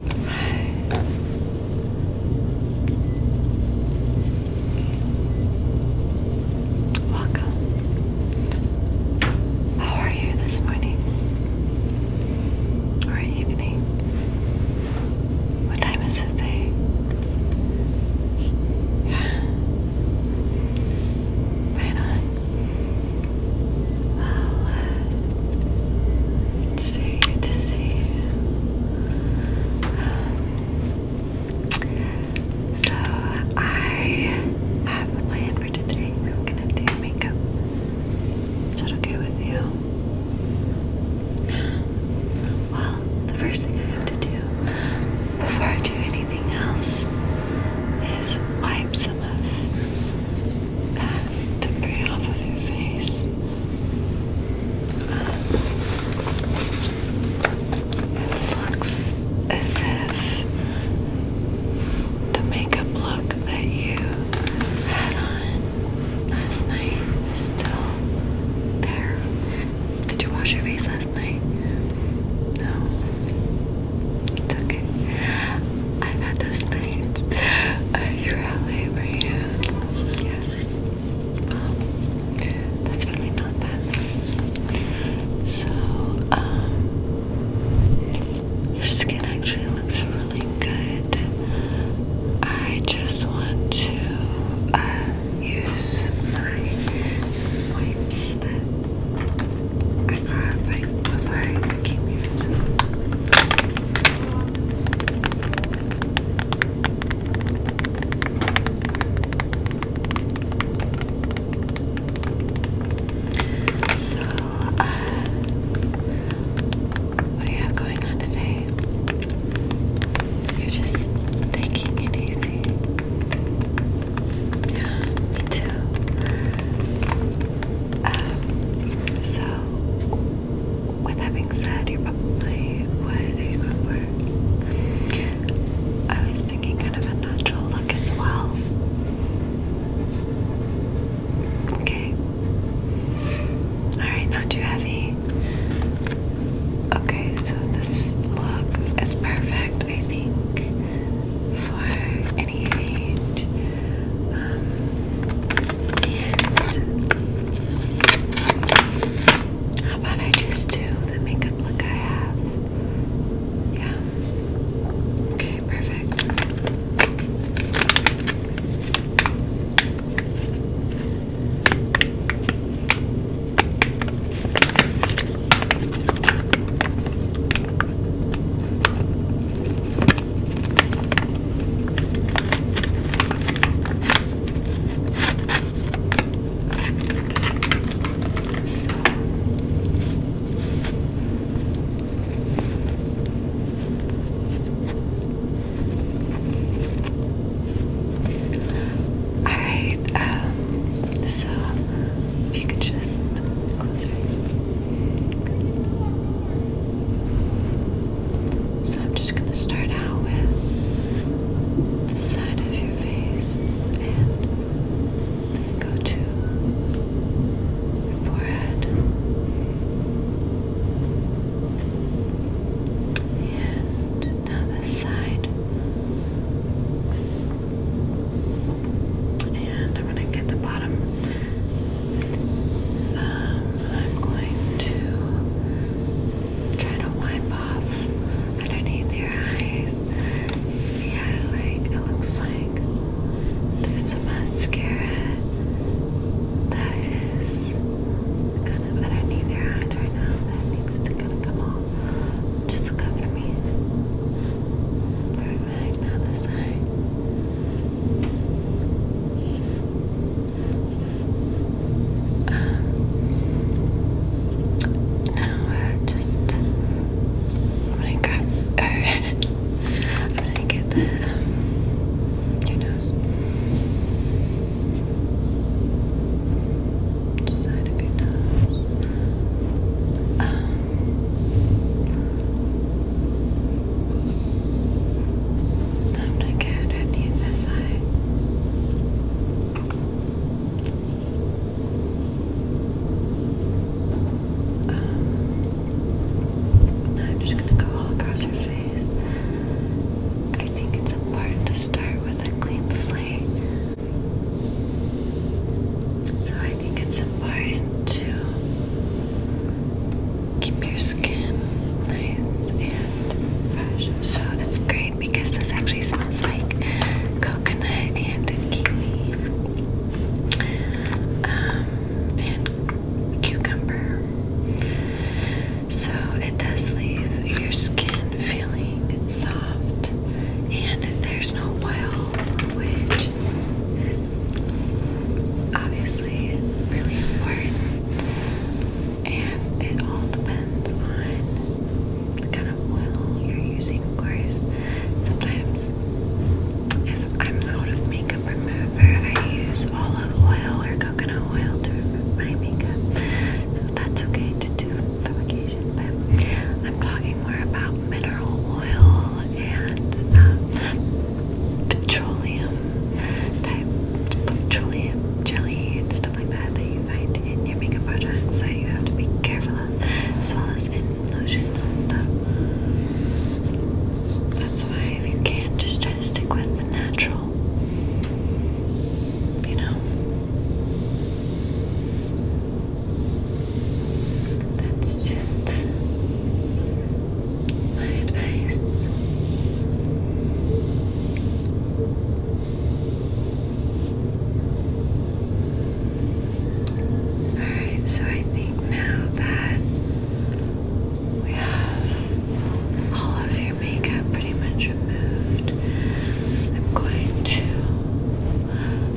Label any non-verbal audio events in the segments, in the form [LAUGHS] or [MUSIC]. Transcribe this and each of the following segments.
Welcome. How are you this morning? Or evening? What time is it today? Yeah. [SIGHS] Right on. Well, uh, it's for you to see. Um, so I have a plan for today. I'm gonna do makeup. Is that okay with you? Well, the first thing I have to do before I do anything else is wipe some of that debris off of your face. It looks as if the makeup look that you had on last night is still there. Did you wash your face last night? No. It's okay. I've had those nights. Uh, you're LA, were you? Yes. that's really not that So, um, your skin actually looks really good. I just want to uh, use my wipes that I got right before I came here. So. So, uh, what do you have going on today? You're just taking it easy. Yeah, me too. Um, so, with that being said, you're probably what are I was thinking kind of a natural look as well. Okay. Alright, not too heavy. Okay, so this look is perfect, I think, for any age how about I just do the makeup look I have? Yeah. Okay, perfect. So Alright, um, so if you could just close your eyes. So I'm just going to start out with the side of your face and go to your forehead and now this side. And I'm going to get the bottom um, I'm going to try to wipe off underneath your eyes. Yeah, like it looks like there's some mascara that is kind of underneath your eyes right now that needs to kind of come off. Just look up for me. Perfect. Now this eye. Um, now uh, just I'm gonna grab. I'm gonna get the your um, nose side of your nose. Um, I'm going to get on the other side. Um, now I'm just going to go all across your face. I think it's important to start with a clean slate. So I think it's important to keep your skin nice and fresh. So it's great because this actually smells like coconut and kiwi, um, and cucumber. So it does leave your skin feeling soft, and there's no oil, which is obviously really important. And it all depends on the kind of oil you're using, of course. Sometimes, if I'm out of makeup remover, I use olive oil or coconut oil to remove my makeup. So that's okay to do for occasion, but I'm talking more about mineral oil and uh, petroleum type petroleum jelly and stuff like that that you find in your makeup products that you have to be careful of, as well as in lotions and stuff. That's why if you can, just try to stick with the natural. You know, that's just my advice. Alright, so I think now that we have all of your makeup pretty much removed, I'm going to.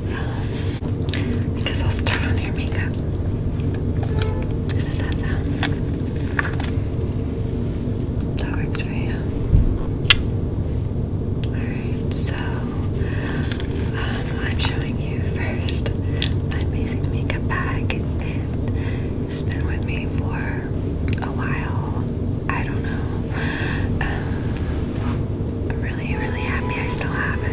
Um, I'll start on your makeup. How does that sound? That works for you. Alright, so um, I'm showing you first my amazing makeup bag, it's been with me for a while. I don't know. Um, I'm really, really happy I still have it.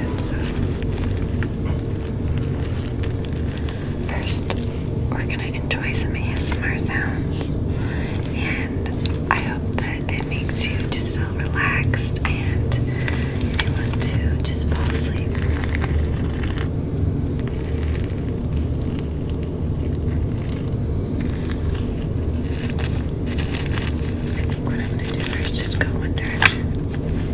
First, we're gonna enjoy some ASMR sounds, and I hope that it makes you just feel relaxed and you want to just fall asleep. what I'm gonna do first is go under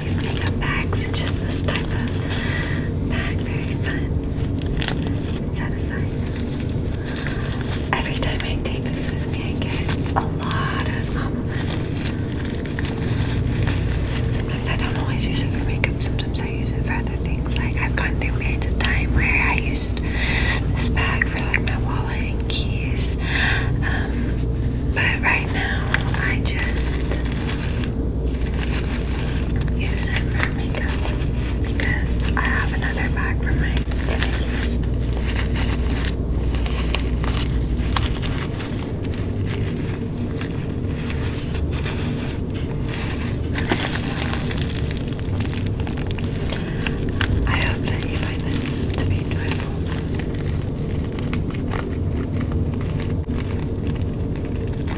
these makeup bags. just this type of bag. Very fun satisfying. Every time I take this with me, I get a lot of compliments. Sometimes I don't always use it for makeup. Sometimes I use it for other things. Like I've gone through periods of time where I used this bag for like my wallet and keys. Um, but right now, I just use it for makeup because I have another bag for my images. I hope that you find this to be enjoyable.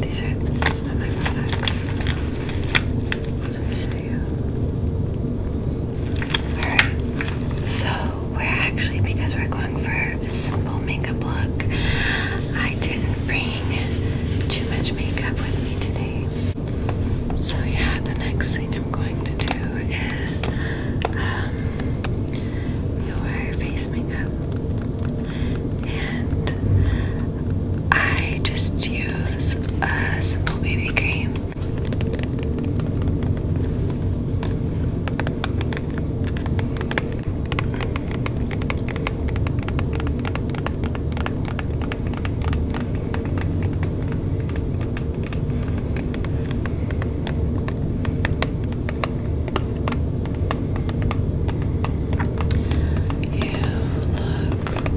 these are some of my products. I'll show you. Alright, so we're actually, because we're going for a simple makeup look, I didn't bring too much makeup with me today. So, yeah, the next thing I'm going to do is um, your face makeup, and I just use a simple baby cream look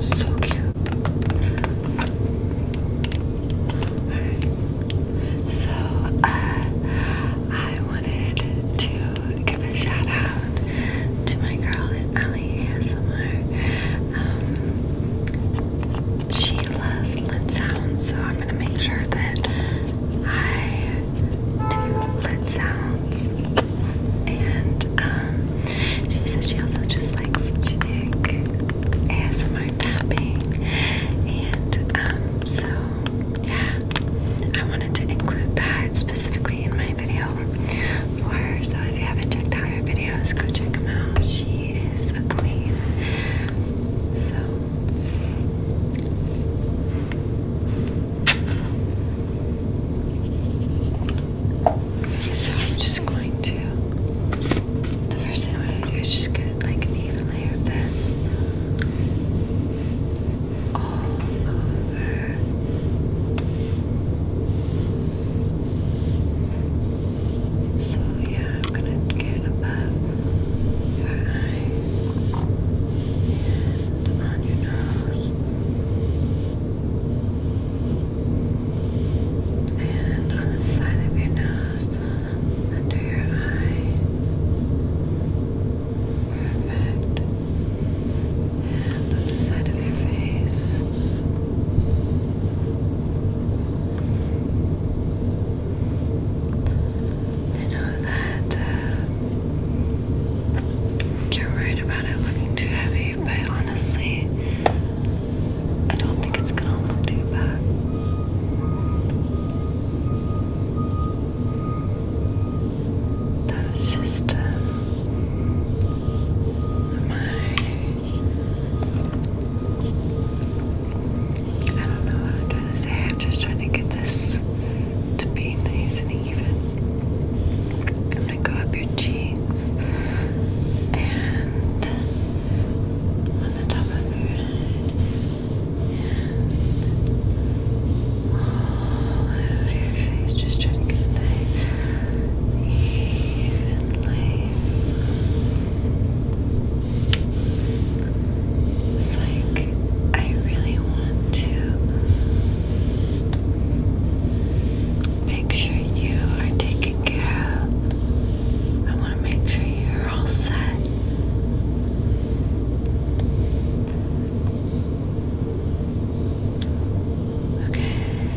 so cute. So uh, I wanted to give a shout out to my girl Ali ASMR. Um she loves lit sounds, so I'm gonna make sure that I do lit sounds. And um, she says she also just likes to ASMR tapping, and um, so yeah, I wanted to include that specifically in my video for her. So if you haven't checked out her videos, go check them out. So so I'm just going to the first thing I want to do is just get like an even layer of this all over. So yeah, I'm gonna get above your eyes on your nose and on the side of your nose, under your eye. Perfect. And on the side of your face. I know that uh, you're worried about it looking too heavy, but honestly, I don't think it's gonna look too bad. That was just uh, my I don't know what I'm trying to say. I'm just trying to get this to be nice and even. I'm gonna go up your cheeks and on the top of your face. Just trying to get nice, even, it's like I really want to make sure you are taken care of. I want to make sure you're all set. Okay.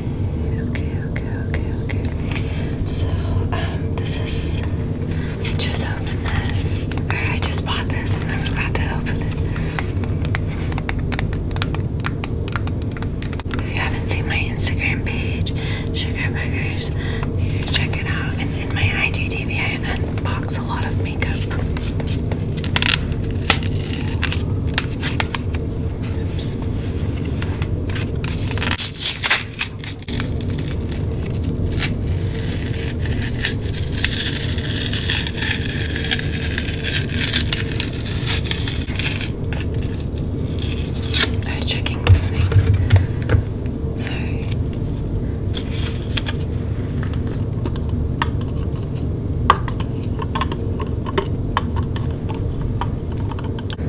Okay, okay, okay, okay. So, um, this is. I just opened this. I just bought this and I forgot to open it. If you haven't seen my Instagram page, Sugar Buggers, you should check it out. And in my IGTV, I unbox a lot of makeup. I oh, was checking something. So Alright,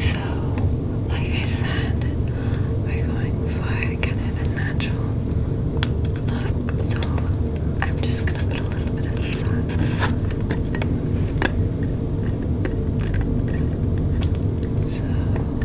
so like I said, we're going for kind of a natural look, so I'm just gonna put a little bit of this on. So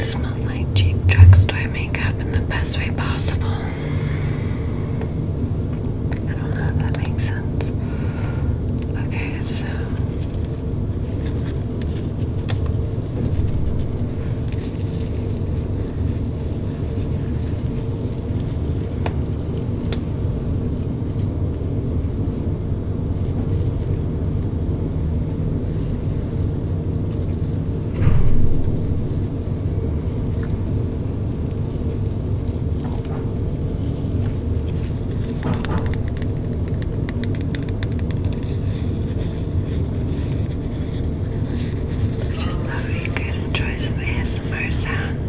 It smells like cheap drugstore makeup in the best way possible. I don't know if that makes sense. Okay, so. I just thought we could enjoy some ASMR sounds.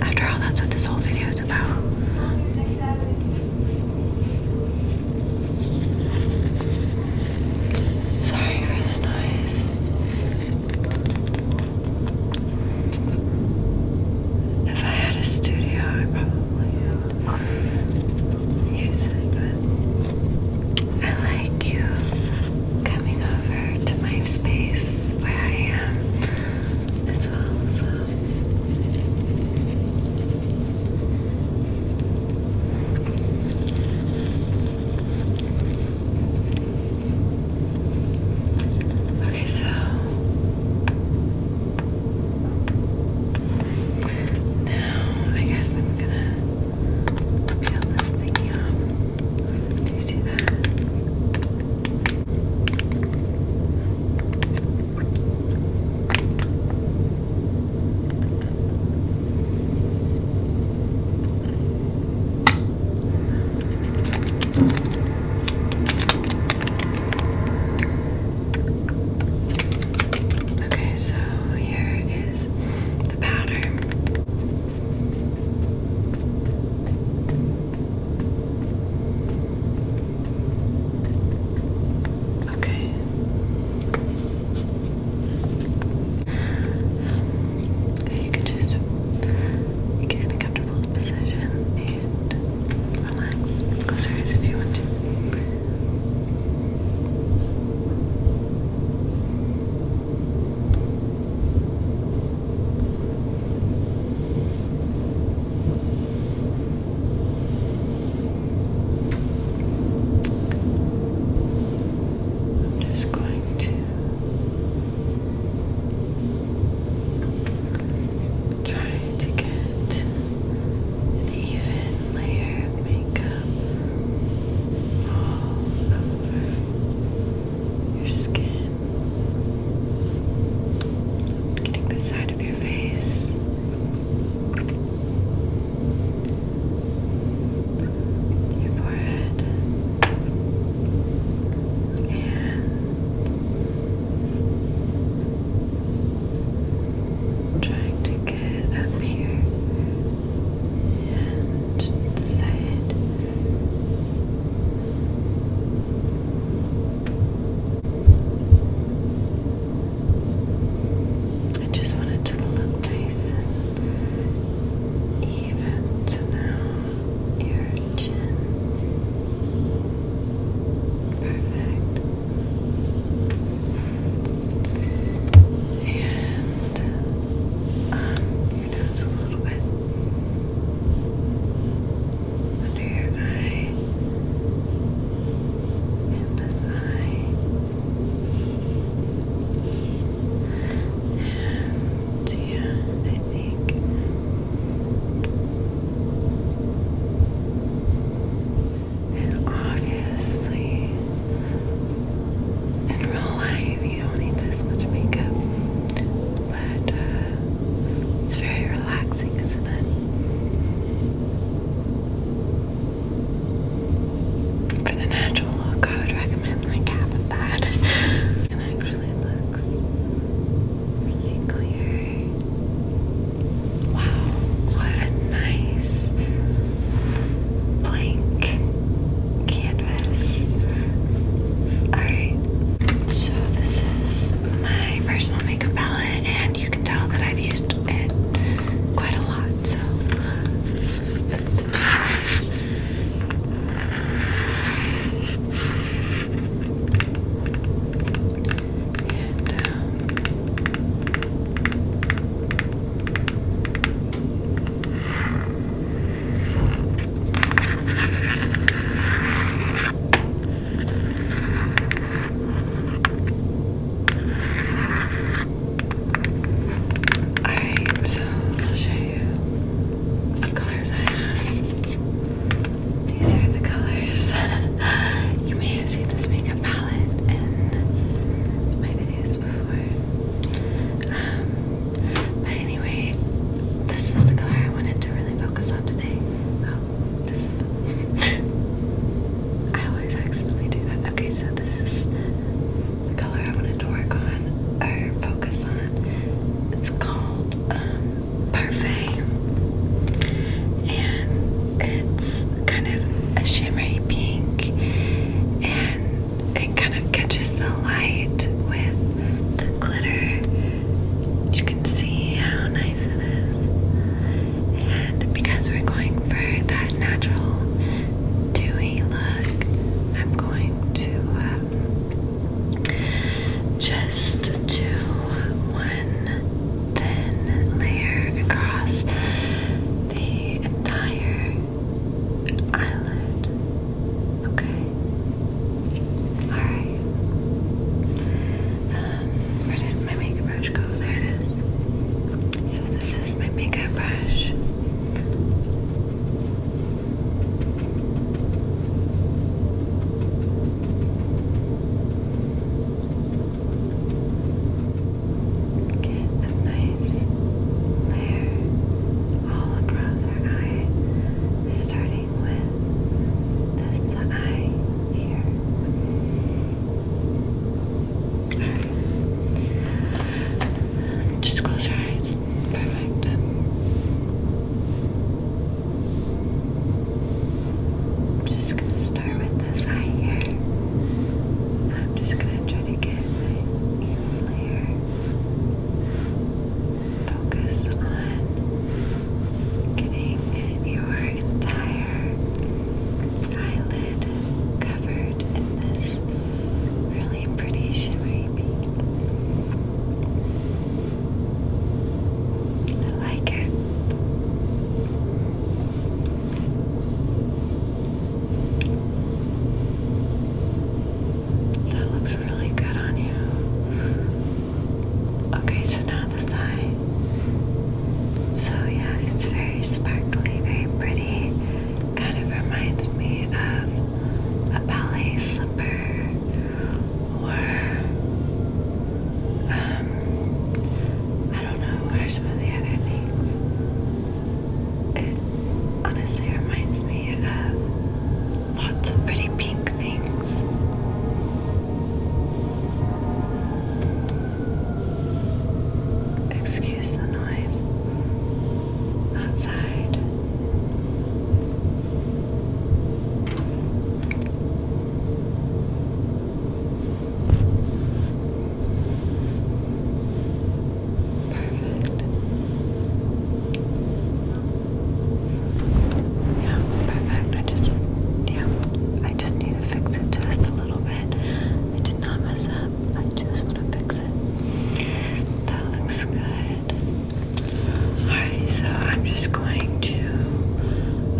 After all, that's what this whole video is about. Sorry for the noise. If I had a studio, I probably I like you coming over to my space where I am as well, Okay, so now, I guess I'm gonna peel this thingy off. Do you see that? Okay, so here is the pattern. Okay. Um, you can just get in a comfortable position and relax. Close your eyes if you want to. I'm just going to trying to get an even layer of makeup all over your skin. Getting the side of your face. Your forehead and i trying to get up here and the I just want it to look nice and even. So now your chin. Perfect. And um, your nose a little bit. Under your eye. And this eye. And yeah, I think and obviously, in real life, you don't need this much makeup. But uh, it's very relaxing, isn't it? For the natural look, I would recommend like that. and [LAUGHS] actually, looks really clear Wow, what a nice blank canvas. Alright, so this is my personal makeup palette, and you can tell that I've used it quite a lot. So let's do first and alright, so I'll show you the colors I have. These are the colors. [LAUGHS] you may have seen this makeup palette in my videos before. Um, but anyway, this is the color I wanted to really focus on today. Oh, this is. [LAUGHS] I always accidentally do that. Okay, so this is the color I wanted to work on or focus on. It's called um, Perfect. And it's kind of a shimmery pink and it kind of catches the light with the glitter. You can see how nice it is. And because we're going for that natural dewy look, I'm going to um, just do one thin layer across the entire eyelid. Okay. Alright. Um, where did my makeup brush go? There it is. So this is my makeup brush. Get a nice layer all across her eye, starting with this eye here. Alright. Just close your eyes. Perfect. I'm just gonna start with this eye here. I'm just gonna try to get my eyeliner. Focus on getting your entire eyelid covered in this really pretty shimmery I like it. That looks really good on you. Okay, so now the eye. So, yeah, it's very sparkly, very pretty. Kind of reminds me of a ballet slipper um, I don't know what are some of the other things. It honestly reminds me of lots of pretty pink things. Excuse the noise outside. Perfect. Yeah, perfect. I just, yeah, I just need to fix it just a little bit. I did not mess up. I just want to fix it. That looks good. Alright, so I'm just going to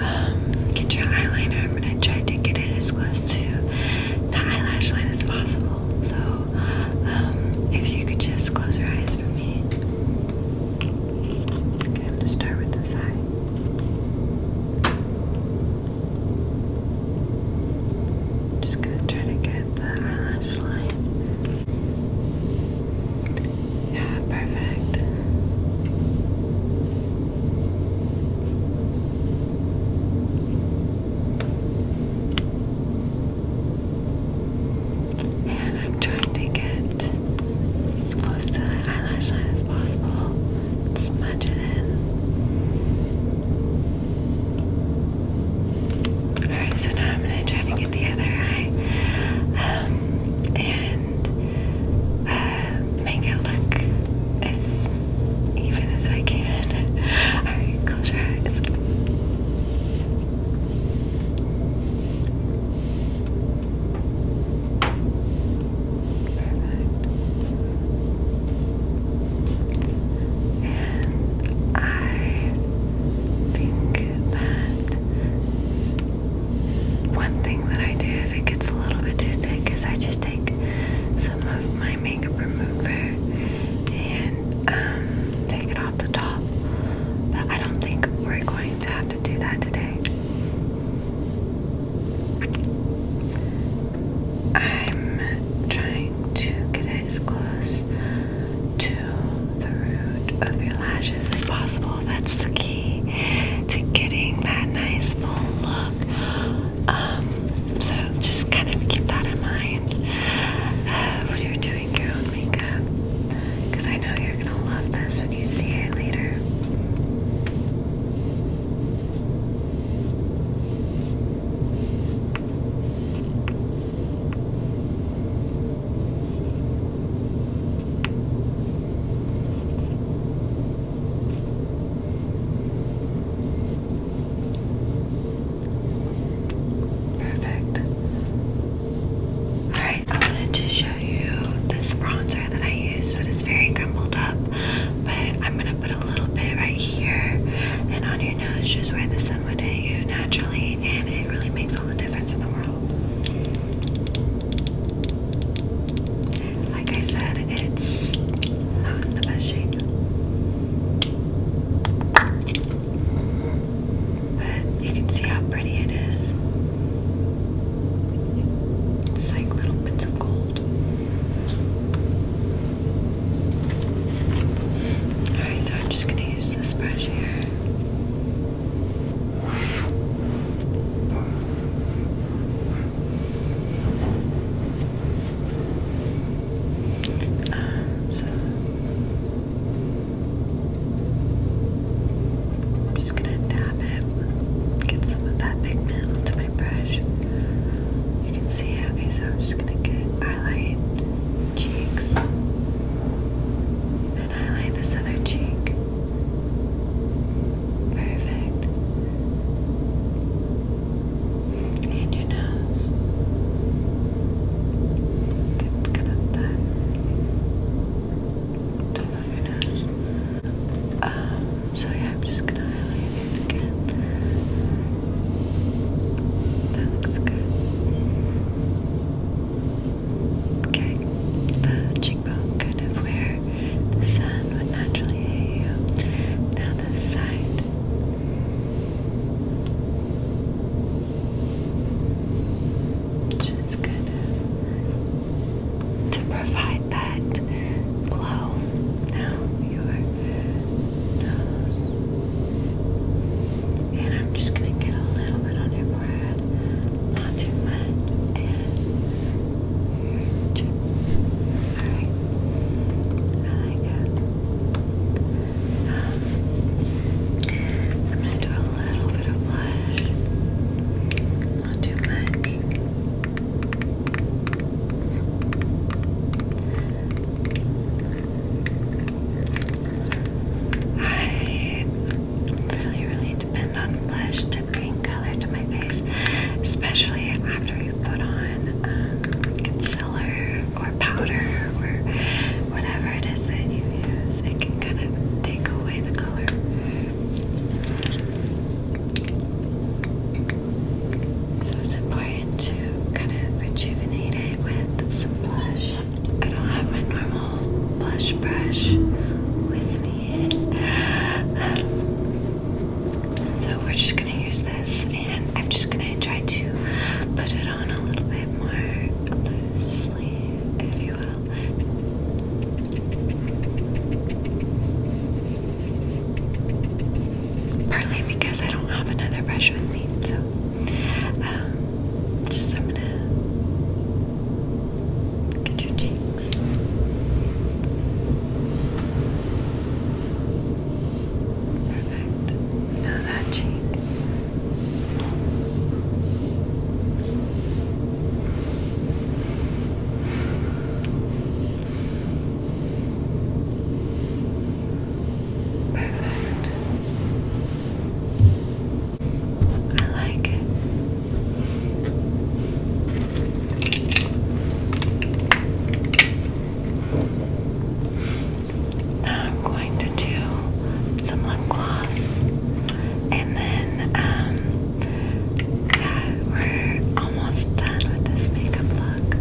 um, get your eyeliner. I'm gonna try to get it as close to the eyelash line as possible. So, um, if you could just close your eyes for me. Okay, I'm gonna start with this eye. Just gonna try to get the eyelash line. Yeah, perfect. And I'm trying to get as close to the eyelash as possible. Smudge it in. Alright, so now I'm going to try to get the other eye. Um, and [SIGHS] make it look as even as I can. Alright, close your eyes. And I think that one thing that I do if it gets a little bit too thick is I just take some of my makeup remover and um, take it off the top. But I don't think we're going to have to do that today. I'm trying to get as close to the root of your lashes as possible. That's the key to getting that nice full look. Um, so just kind of keep that in mind uh, when you're doing your own makeup, because I know you're gonna love this when you see it later. Perfect. Alright, I wanted to show you this bronzer that I used, but it's very crumbled up. But I'm gonna put a little bit right here and on your nose, just where the sun would hit you naturally, and it really makes all the difference in the world. Like I said, it's not in the best shape. But you can see how pretty it is. It's like little bits of gold. Alright, so I'm just gonna use this brush here so I'm just gonna dab it, get some of that pigment onto my brush. You can see, okay, so I'm just gonna get highlight cheeks and highlight this other cheek. Perfect. And your nose. Good, good that. Top your nose. Um, so yeah, I'm just gonna highlight it again. That looks good. Okay, the cheekbone kind of where the sun would naturally hit you. Now the side. Just kind of to provide that glow. Now your nose. And I'm just gonna get a little bit on your forehead. Not too much. Alright. I like it. I'm gonna do a little bit of blush. Not too much. I really, really depend on flesh to bring color to my face, especially after you put on um, concealer or powder or whatever it is that you use. It can kind of take away the color. So it's important to kind of rejuvenate it with some blush. I don't have my normal blush brush with me so we're just gonna use this and I'm just gonna try to put it on a little bit more loosely, if you will. Partly because I don't have another brush with me, so um, just I'm gonna Look at your cheeks. Perfect. Now that cheek. Perfect. I like it. Now I'm going to do some lip gloss and then um, yeah, we're almost done with this makeup look.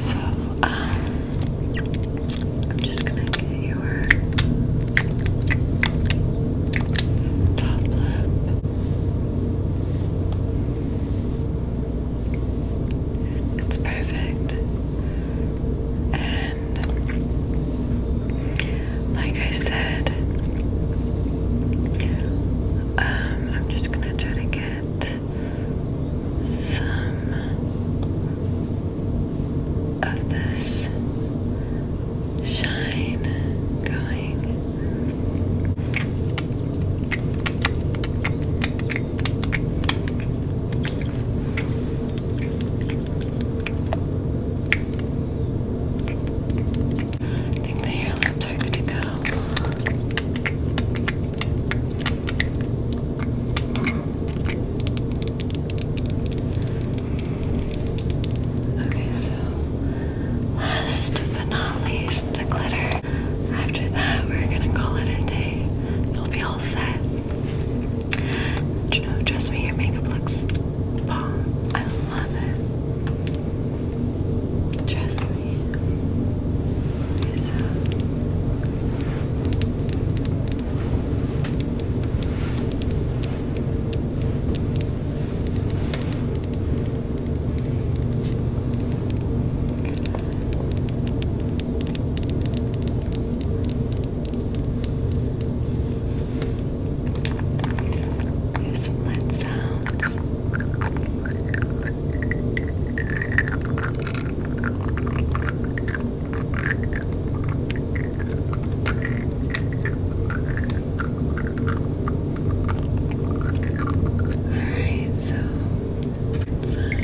So, um, I'm just gonna get your top lip. It's perfect. And like I said, um, I'm just gonna try to get some of this shine going morning. I think the hair lips are to go. Okay, so last but not the glitter. After that, we're gonna call it a day. You'll be all set. You know, trust me, your makeup looks bomb. I love it. Trust me. It's, Here's some lead sounds. Alright, so inside. I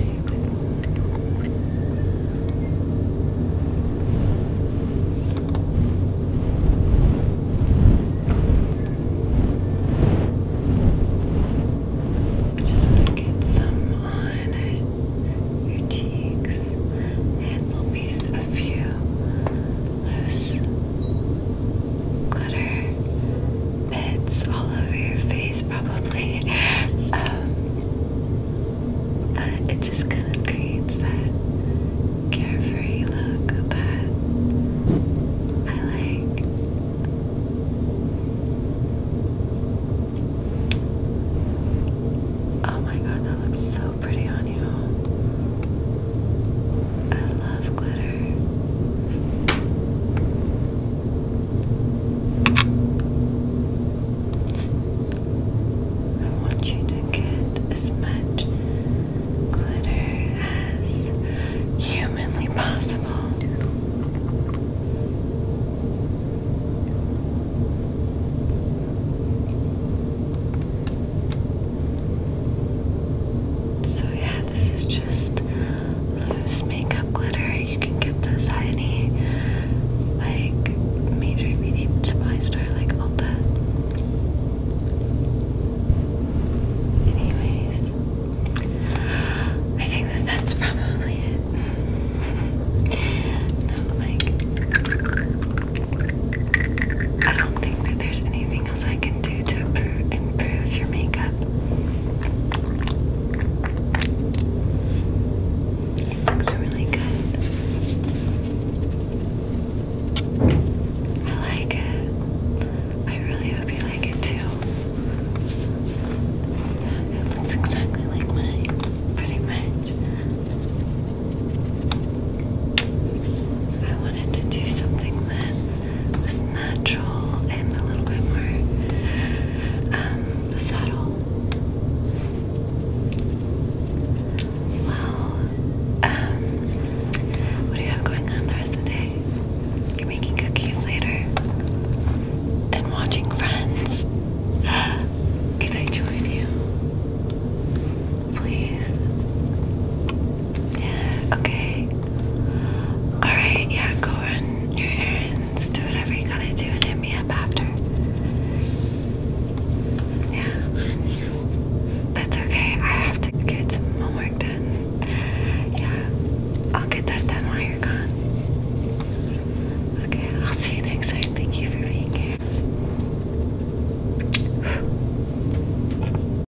just want to get some on your cheeks and there a few loose glitter bits all over your face, probably. Um, but it just kind of creates that carefree look that I like. Oh my god, that looks so pretty on you. I love glitter. I want you to get as much glitter as humanly possible. So, yeah, this is just loose makeup glitter. You can get this at any like major beauty supply store like Ulta. Anyways, I think that that's probably it. [LAUGHS] no, like I don't think that there's anything anything I can do to improve, your makeup? It looks really good. I like it. I really hope you like it too. It looks exactly like mine, pretty much wanted to do something that was natural and a little bit more um, subtle. Well, um, what do you have going on the rest of the day? You're making cookies later and watching Friends. [GASPS] Can I join you? Please. okay. Alright, yeah, go run your errands, do whatever you gotta do, and hit me up after. Yeah. That's okay, I have to get some homework done. Yeah, I'll get that done while you're gone. Okay, I'll see you next time. Thank you for being here.